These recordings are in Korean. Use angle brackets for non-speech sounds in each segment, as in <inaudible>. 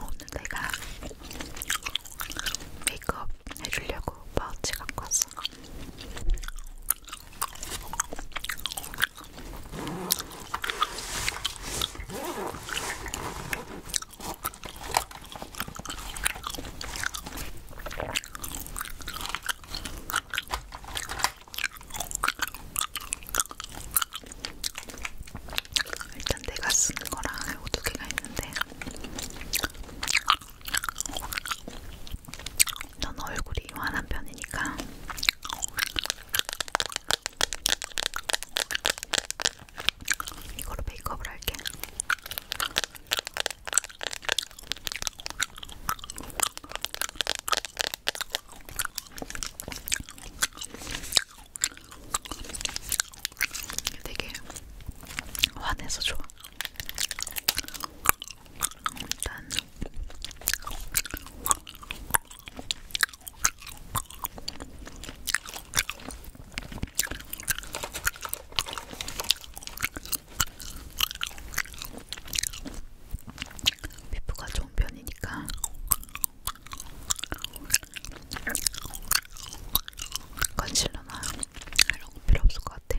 오늘 내가 메이크업 해주려고 파우치 갖고 왔어. 일단 내가 쓴 거랑 이거 두 개가 있는데 넌 얼굴이 환한 편이니까 이거로 메이크업을 할게. 되게 화내서 좋아. 일단 피부가 좋은 편이니까 컨실러나 이런 거 필요 없을 것 같아.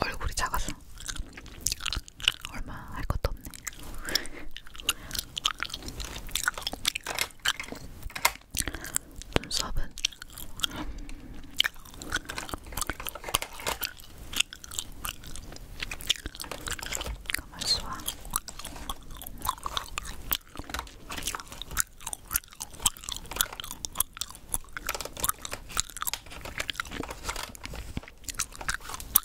얼굴이 작아서 얼마 할 것도 없네. 눈썹은 가만 있어봐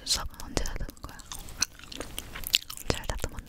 눈썹은 언제 다듬은 거야? 잘 다듬었네.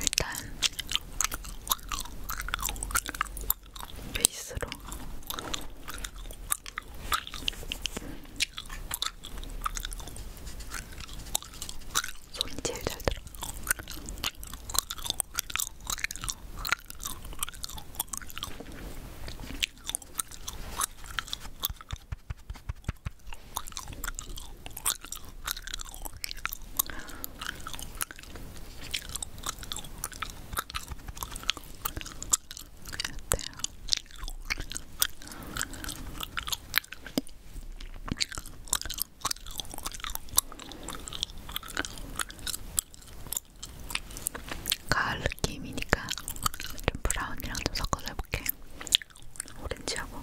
일단 베이스로 손이 제일 잘 들어. 가을 느낌이니까 좀 브라운이랑 좀 섞어서 해볼게. 오렌지하고.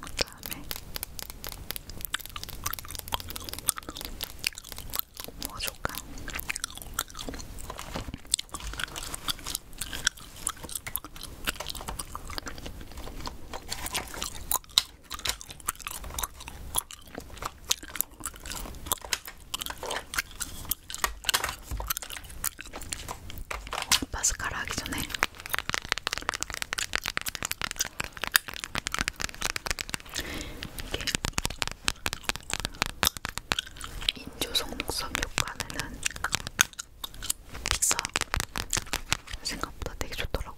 그다음에 뭐 줄까? 파스카라 하기 전에 이게 인조 속눈썹 효과는 비싸. 생각보다 되게 좋더라고.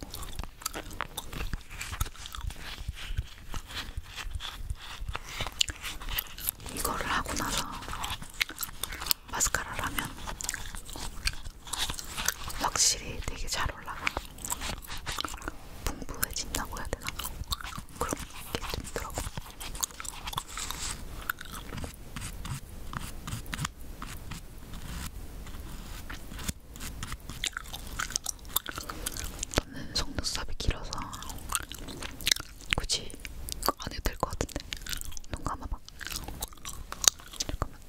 이거를 하고 나서 마스카라라면 확실히 되게 잘 올라가. 풍부해진다고 해야 되나? 그런 게 들더라고. 저는 속눈썹이 길어서 굳이 안 해도 될 것 같은데 눈 감아봐 잠깐만.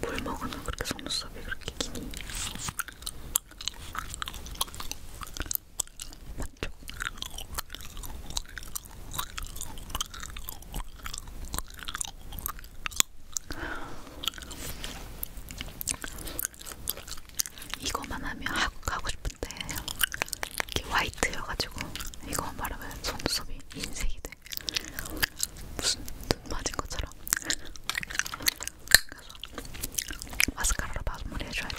뭘 먹으면 그렇게 속눈썹이 그렇게 기니? 맞죠? 이거만 하면 하고 싶은데 이게 화이트여가지고 이거만 바르면 속눈썹이 흰색이 돼 무슨 눈 맞은 것처럼 그래서 마스카라로 마무리해줘야 돼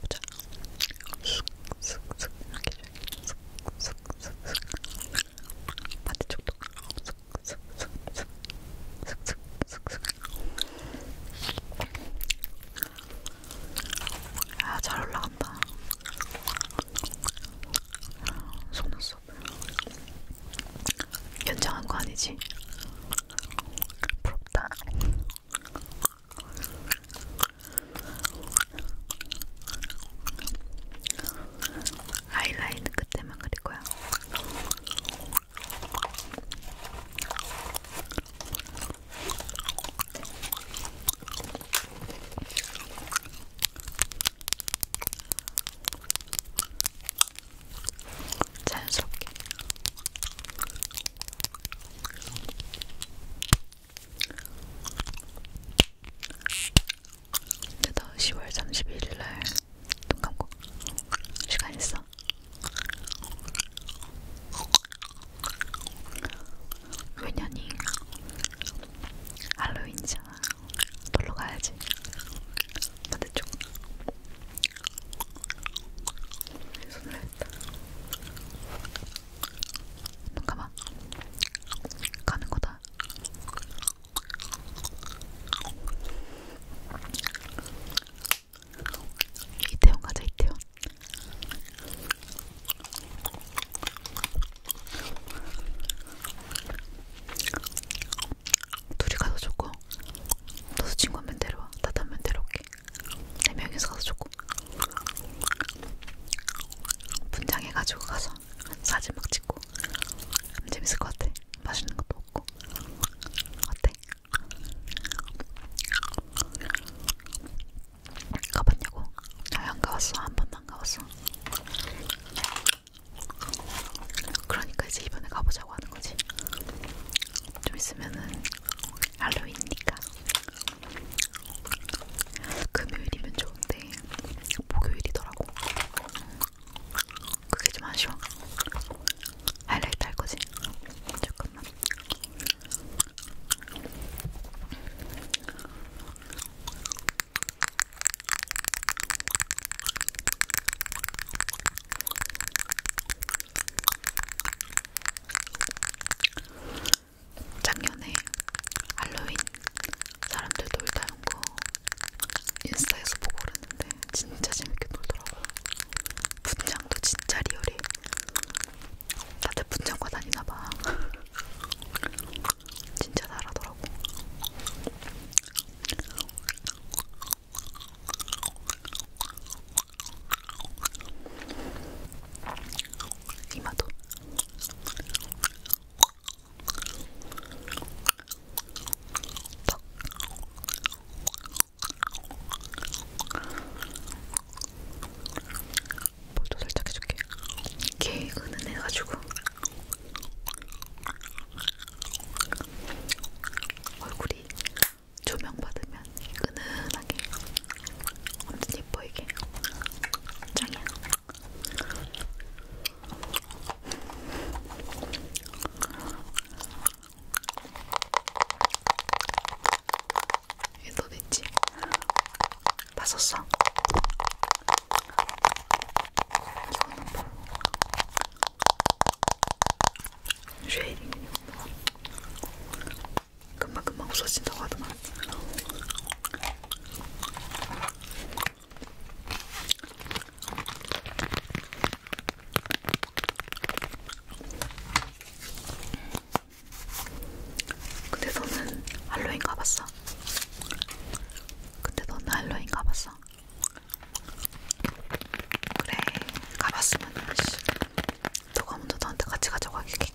보자. 슥슥슥 이렇게 슥슥슥슥 반대쪽도 슥슥슥슥 슥슥슥슥 아, 잘 올라간다. 속눈썹 연장한 거 아니지? 부럽다. 아이라인 끝에만 그릴 거야. 자연스럽게 내가 10월 31일날 눈 감고 시간 있어. 왜냐니 할로윈이잖아. 놀러 가야지. 반대쪽. 손했다 눈 감아 가는 거다 이태원 가자 이태원 둘이 가서 좋고 너도 친구 한명 데려와 나도 한명 데려올게 네 명이서 가서 조금 분장해가지고 가서 사진 막 찍고 재밌을 것 같아. 맛있는 것도 먹고 어때? 가봤냐고? 아니 안 가봤어. 한 번도 안 가봤어. 그러니까 이제 이번에 가보자고 하는 거지. 좀 있으면은 할로윈이니까 금요일이면 좋은데 목요일이더라고. 그게 좀 아쉬워. 하이라이트 할 거지? 잠깐만. 작년에 할로윈 사람들 놀다는 거 인스타에서 보고 그랬는데 진짜 재밌게 놀더라고요. 분장도 진짜 리얼해. 다들 분장과 다니나봐. <laughs> 진짜 잘하더라고. 이마도 턱 볼도 살짝 해줄게 이게 은은해가지고 얼굴이 조명 받으면 은은하게 엄청 예뻐이게 짱이야. 이게 도대체 다 썼어? 이거는 바로 뭐? 쉐이딩 금방금방 없어진다고 하더만 근데 너는 할로윈 가봤어? 근데 너는 할로윈 가봤어? 그래 가봤으면 씨 너가 먼저 너한테 같이 가자고 하겠겠다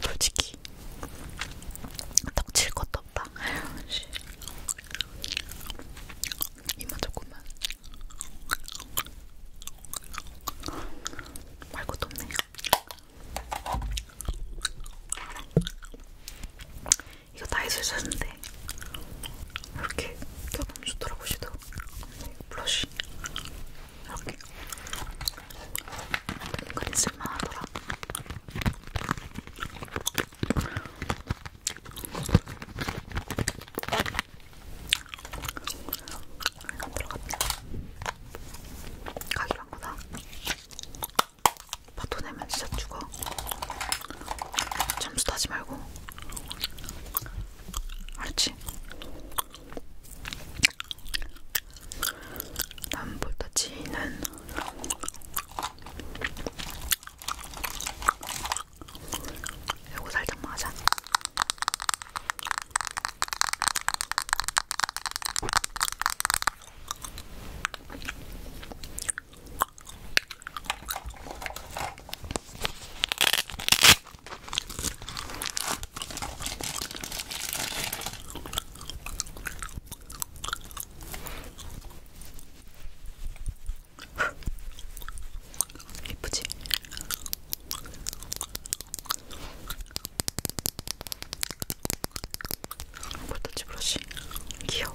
솔직히 떡칠 것도 없다. 이만 조금만 말 것도 없네요. 이거 다이소에 샀는데 이렇게 껴놓으면 좋더라고 시도 블러쉬 이렇게 은근히 쓸만하더라. 안 들어갑니다. 가기란 거다. 파토 내면 진짜 죽어. 점수 따지 말고. 알았지? 남보터치는 요거 살짝만 하자. 예쁘지? 볼터치 어, 브러쉬 귀여워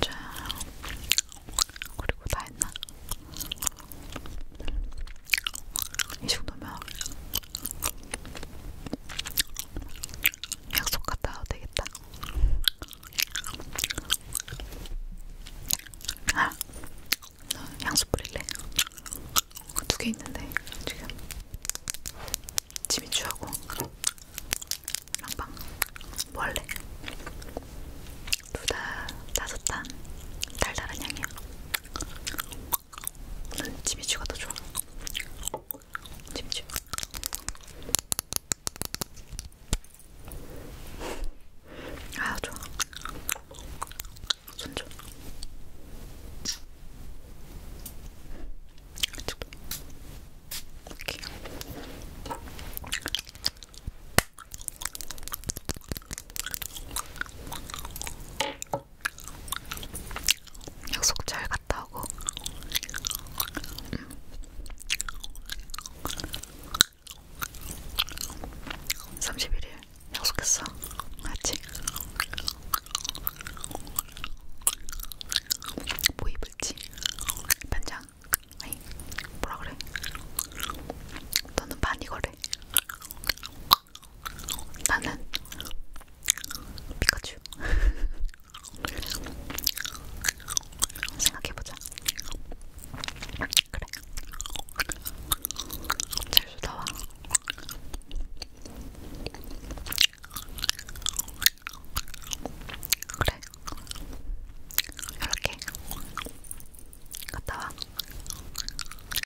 자, 그리고 다 했나? 이 정도면 약속 갔다 와도 되겠다. 아, 너 향수 뿌릴래? 두 개 있는데 지금 지민주하고 랑방 뭐 할래? 둘다 따뜻한 달달한 향이야. 지미추가 더 좋아. 지미추. 아 좋아. 손줘. 이렇게. 약속 잘 갔다 오고. 음. 삼십일일 약속했어. 맞지? 뭐 입을지? 반장? 아니, 뭐라 그래? 너는 반이거래. 나는 피카츄 <laughs> 생각해보자 그래 제주 나와 그래 이렇게 갔다와